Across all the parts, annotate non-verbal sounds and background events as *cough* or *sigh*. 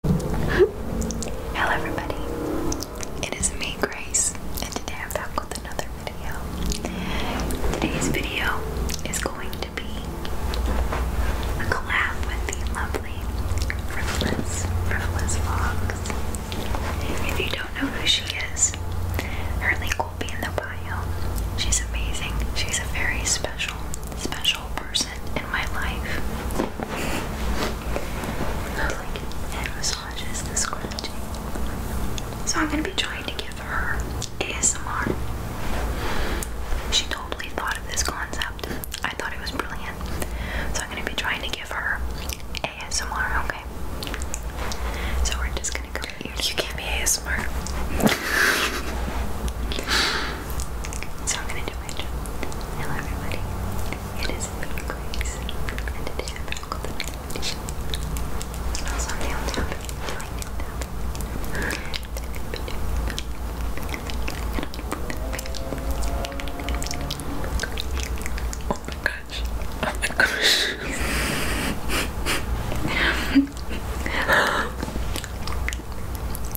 *laughs* Hello everybody, it is me Grace and today I'm back with another video. Today's video is going to be a collab with the lovely Frivolous, Frivolous Vlogs. If you don't know who she is, her link will be in the bio. She's amazing, she's a very special, special person in my life. So I'm gonna be trying to give her ASMR. She totally thought of this concept. I thought it was brilliant. So I'm gonna be trying to give her ASMR, okay? So we're just gonna go. You can't be ASMR. So I'm gonna do my job. Hello everybody. It is Grace. And today I'm gonna go to the down tap. Doing down Oh my gosh. Oh my gosh. *laughs*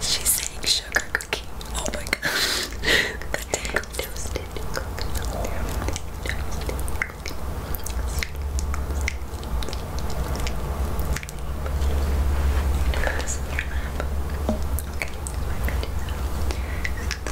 She's saying sugar cookie. Oh my god. Toasted Toasted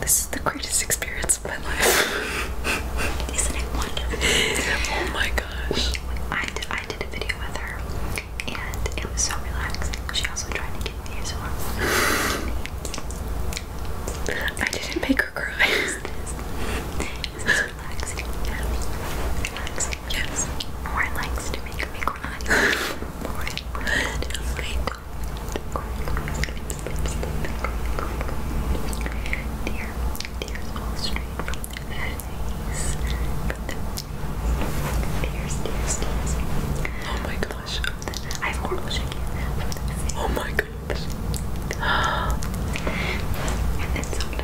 This is the greatest experience of my life. *laughs* Isn't it wonderful? oh my gosh. I did, I did a video with her and it was so relaxing. She also tried to get me as well. *laughs* I didn't make her cry relaxing, Relaxing, yes. More likes to make me cry. *laughs* More good. Good. Dear, tears all Oh my gosh. I have horrible shaking. Oh my gosh. *gasps*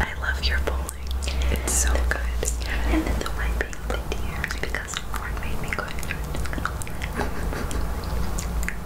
I love your bowling. It's so good. And then the wiping the because Ford made me go *laughs*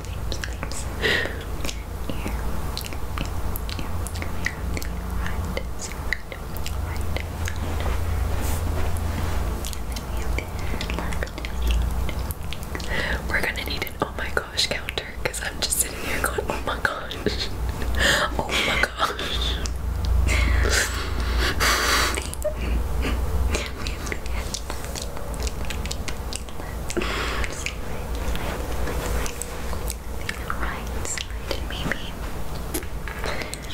we are gonna need an oh my gosh counter because I'm just sitting here going, oh my gosh. *laughs* Oh my gosh. *laughs* *laughs*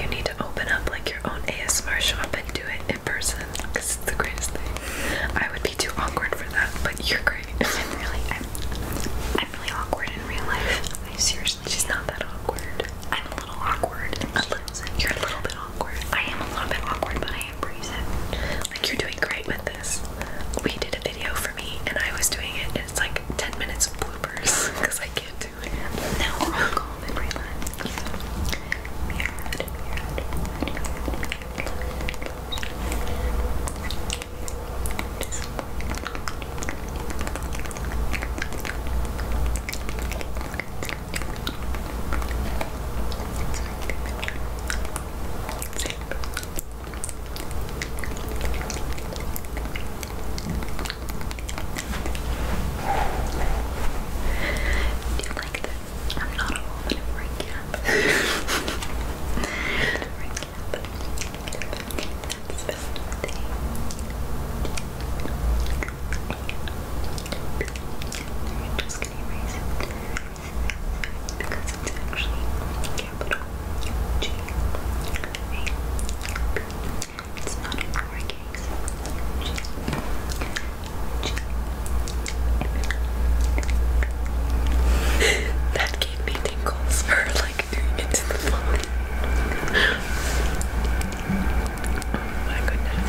You need to open up like your own ASMR shop and do it in person it's the greatest thing. I would be too awkward for that, but you're great. *laughs* I'm really, I'm, really awkward in real life. seriously, she's not that awkward. I'm a little awkward. A little, you're a little bit awkward. I am a little bit awkward, but like, you're doing great with this. We did a video for me, and I was doing it, and it's like 10 minutes of bloopers because *laughs* I can't do it. Now Sleep. Do you like this? I'm not a woman in recap. recap. That's the thing. We're just gonna erase it because it's actually capital G A B. It's not a that gave me tingles for like doing it to the phone. oh my goodness.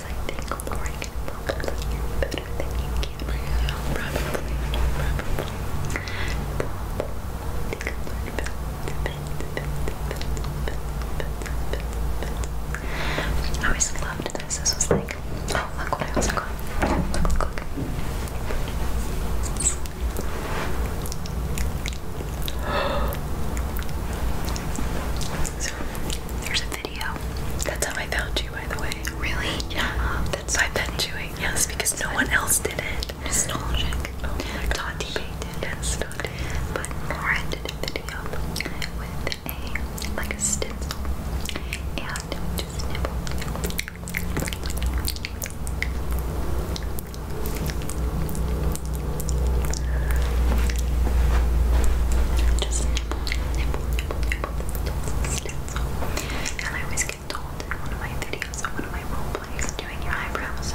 because I think more can focus on better than you right oh now. Probably, probably. I always loved this. This was like, oh look what I also got. *gasps* *gasps* There's a video. That's how I found you, by the way. Really? Yeah. Uh, that's by Ben Chewing. Yes, because no one else did it. Tati Bay oh did. But Lauren did a video with a like a stencil and just nibble. Just nibble, nibble, nibble, nibble, just I always get told in one of my videos, in one of my role doing your eyebrows.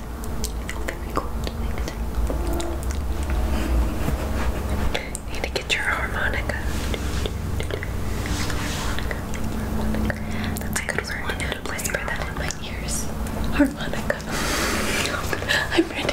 need to get your harmonica. That's a good I word. Whisper that in my ears. Harmonica. I'm ready.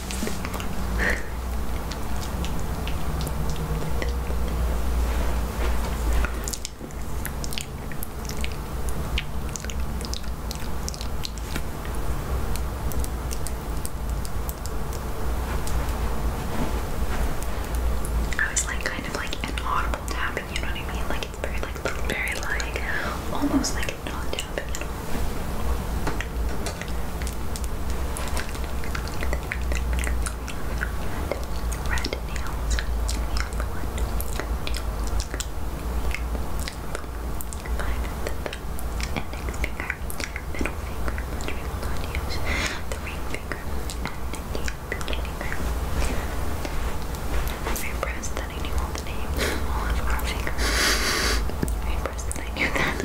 I was like kind of like inaudible tapping, you know what I mean? Like it's very like very like almost like not tapping at Red nails. Index finger, middle finger, which we will not use, the ring finger, and the pinky finger. I'm impressed that I knew all the names, all of our fingers. I'm impressed that I knew that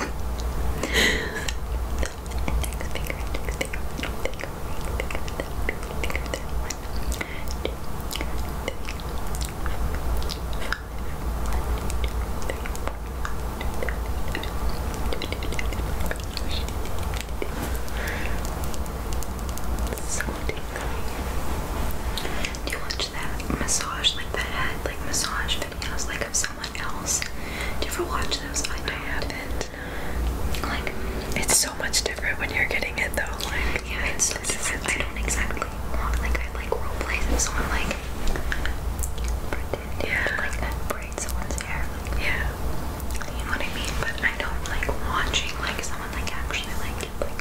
index Do you watch that massage, like the head, like massage the videos like of someone else. Do you ever watch those? I don't. haven't. Like it's so much different when you're getting it though. Like yeah, it's so different. I don't exactly want like I like role plays if someone like pretend yeah. like braid someone's hair. yeah. You know what I mean? But I don't like watching like someone like actually like like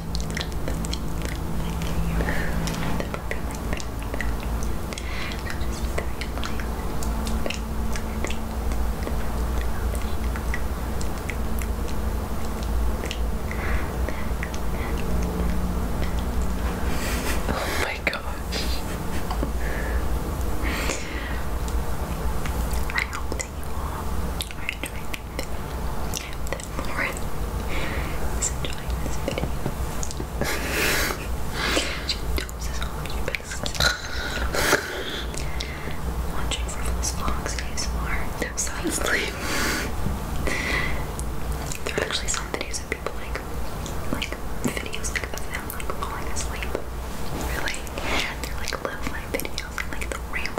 Oh my gosh. I hope that you are that Lauren is enjoying this video. she dozes on your Watching for those vlogs ASMR. Sound sleep. there are actually some videos of people like, like videos like of them like falling asleep. Really? They're like love life videos like the real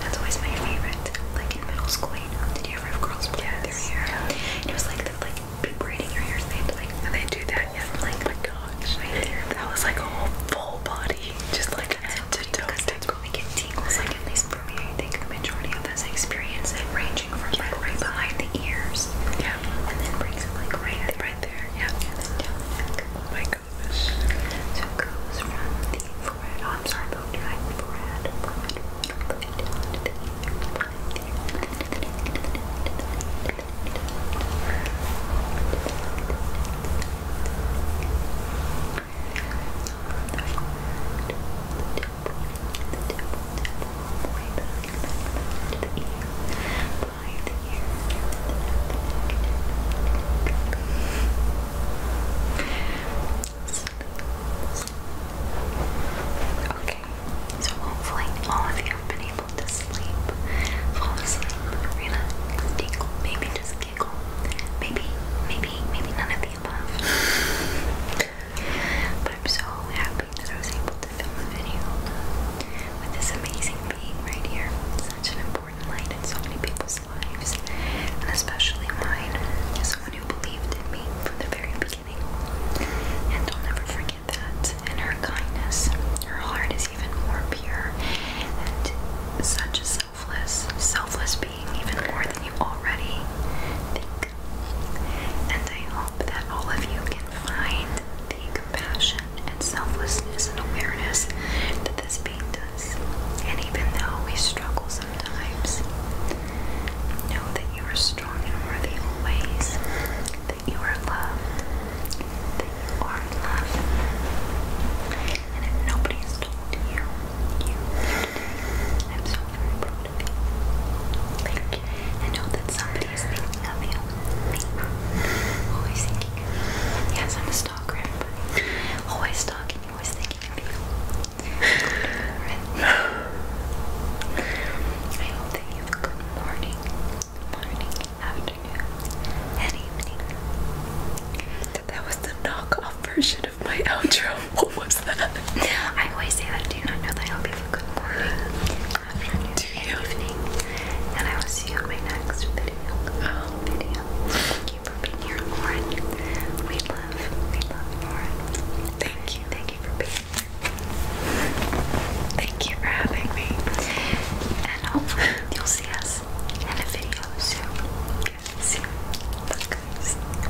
That's always my favorite. Like in middle school, did you ever have girls play their hair? It was like the, like braiding your hair, they And they do that, yeah. Like, oh my gosh, right there. That was like a whole full body, just like head to toe. That's what we get tingles like at least I think the majority of us experience it, ranging from like right behind the ears, yeah, and then brings it like right right there, yeah, and then down my gosh! So it goes the forehead. Oh, I'm sorry, about your forehead, forehead, forehead, down to the ear, Okay, so hopefully all of you have been able to sleep, fall asleep, relax, tingle, maybe just giggle, maybe, maybe, maybe none of the above. But I'm so happy that I was able to film a video uh, with this amazing being right here. such an important light in so many people's lives, and especially mine. someone who believed in me from the very beginning, and I'll never forget that. And her kindness, her heart is even more pure, and such a selfless, selfless being, even more than you already think and I hope that all of you can find the compassion and selflessness and awareness that this pain does. And even though we struggle sometimes, know that you are strong and worthy always, that you are loved, that you are loved. And if nobody's told you, you I'm so very proud of you. Thank I know that somebody is thinking of you. Always thinking Yes, I'm a stalker, Always stalking, always thinking of you. I hope that you have a good morning, morning, afternoon, evening. That was the knockoff version my outro. *laughs* What was that? I always say that. Do you not know that I hope you have a Do you? And I will see you on my next video. Thank you for being here, Lauren. We love, we love Lauren. Thank you. Thank you for being here. Thank you for having me. And hopefully you'll see us in a video soon. see you. Bye guys.